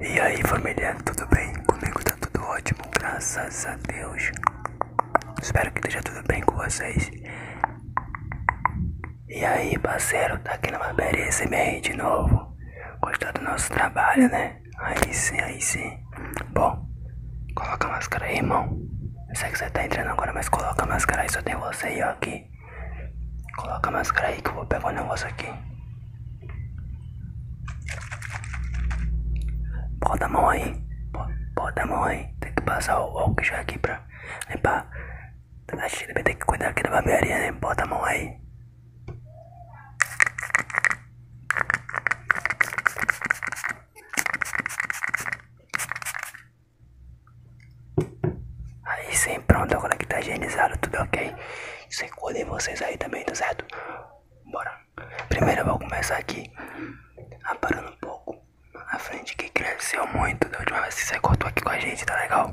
E aí família, tudo bem? Comigo tá tudo ótimo, graças a Deus. Espero que esteja tudo bem com vocês. E aí parceiro, tá aqui na barbearia SMR de novo. Gostar do nosso trabalho, né? Aí sim, aí sim. Bom, coloca máscara aí, irmão. Eu sei que você tá entrando agora, mas coloca máscara aí, só tem você e eu aqui. Coloca a máscara aí que eu vou pegar um negócio aqui. Bota a mão aí. Bota a mão aí. Tem que passar o álcool já aqui pra limpar. A gente vai ter que cuidar aqui da barbearia, né? Bota a mão aí. Aí sim, pronto, agora que tá higienizado, tudo ok. Se é cuidem vocês aí também, tá certo? Bora. Primeiro eu vou começar aqui, aparando ah, um pouco a frente que cresceu muito da última vez que você cortou aqui com a gente, tá legal?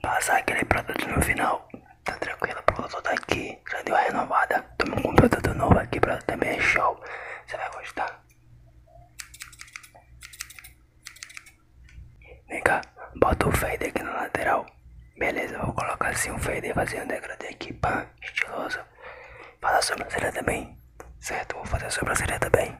Passar aquele produto no final, tá tranquilo, por eu tô daqui já deu a renovada. Tamo com um produto novo aqui, pra também é show. Você vai gostar. Vem cá, bota o fader aqui na lateral. Beleza, vou colocar assim um fader, fazer um degradê aqui, pá, estiloso. Faz a sobrancelha também, certo? Vou fazer a sobrancelha também.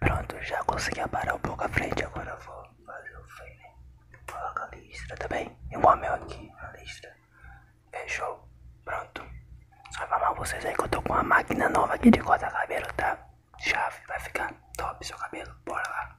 Pronto, já consegui aparar um pouco a frente, agora vou fazer o frame. Vou a listra, tá bem? Eu vou meu aqui na listra. Fechou. É Pronto. Só informar vocês aí que eu tô com uma máquina nova aqui de cortar cabelo, tá? Chave, vai ficar top seu cabelo. Bora lá.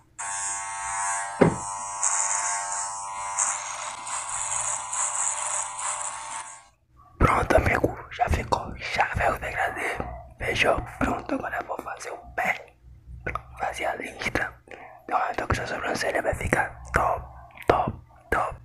Pronto, amigo, já ficou. Já veio o degradê. Fechou. Pronto, agora vou fazer o pé. fazer a lista. então uma toque na sobrancelha, vai ficar top, top, top.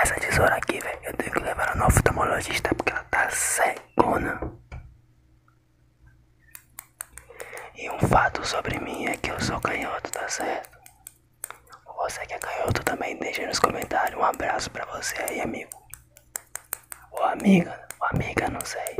Essa tesoura aqui, velho, eu tenho que levar ela no oftalmologista porque ela tá cegona. E um fato sobre mim é que eu sou canhoto, tá certo? Você que é canhoto também, deixa nos comentários. Um abraço pra você aí, amigo. Ou amiga, ou amiga, não sei.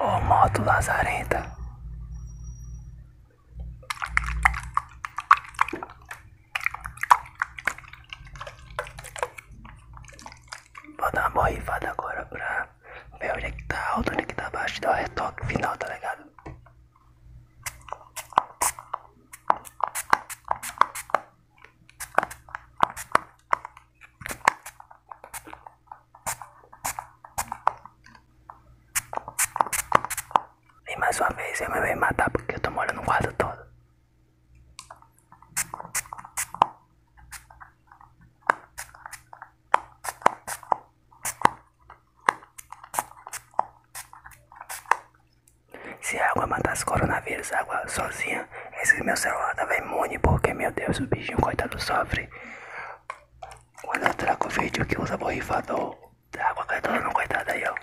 O modo lazarenta Vou dar uma borrifada agora pra ver onde é que tá alto, onde é que tá baixo, dar o um retoque final, tá ligado? E mais uma vez eu me vejo matar porque eu tô morando no quarto todo. Se a água matasse coronavírus, a água sozinha, esse meu celular tava imune porque, meu Deus, o bichinho coitado sofre. Quando eu trago vídeo que usa borrifador, trago a não coitada aí, ó.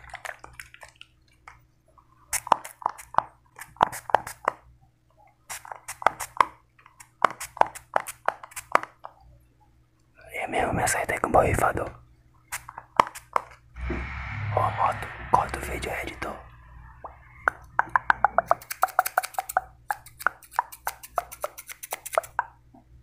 É mesmo, me acertei com borrifador. Ô oh, moto, corta o vídeo, editor.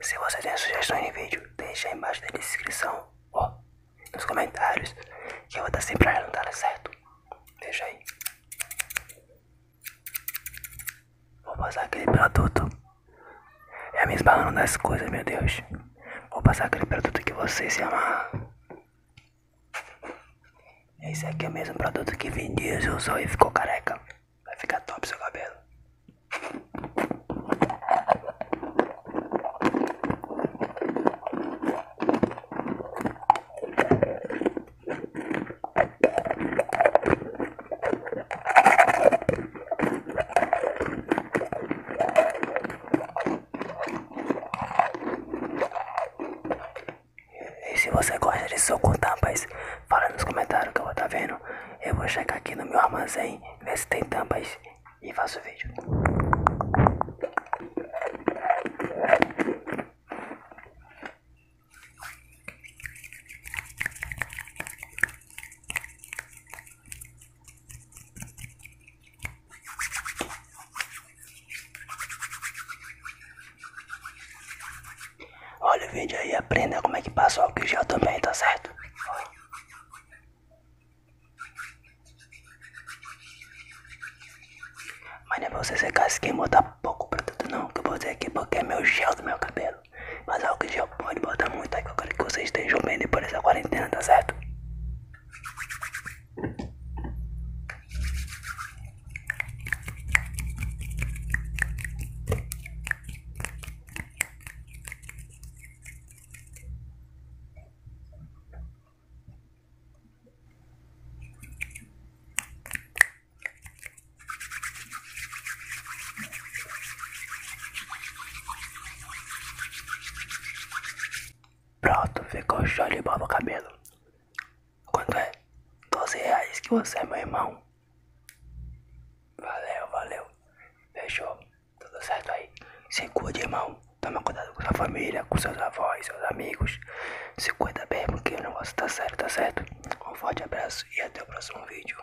Se você tem sugestões de vídeo, deixa aí embaixo da descrição ó, nos comentários que eu vou estar sempre olhando, tá certo? Deixa aí. Vou passar aquele produto. É me esbarrando nas coisas, meu Deus. Vou passar aquele produto que você se amar. Esse aqui é o mesmo produto que Vin Diesel usou e ficou careca. Vai ficar top seu cabelo. E se você gosta de suco com tampas, fala nos comentários que eu vou estar tá vendo. Eu vou checar aqui no meu armazém, ver se tem tampas e faço o vídeo. Olha o vídeo aí, aprenda como é que passa o álcool gel também, tá certo? Mas não é você secar esse quem botar tá pouco tudo não, que eu botei aqui porque é meu gel do meu cabelo. Mas álcool gel pode botar muito aí que eu quero que vocês estejam bem depois dessa quarentena, tá certo? Pronto, ficou show de bola cabelo. Quanto é? 12 reais que você é meu irmão. Valeu, valeu. Fechou. Tudo certo aí. Se cuide, irmão. Toma cuidado com sua família, com seus avós, seus amigos. Se cuida bem porque o negócio tá sério, tá certo? Um forte abraço e até o próximo vídeo.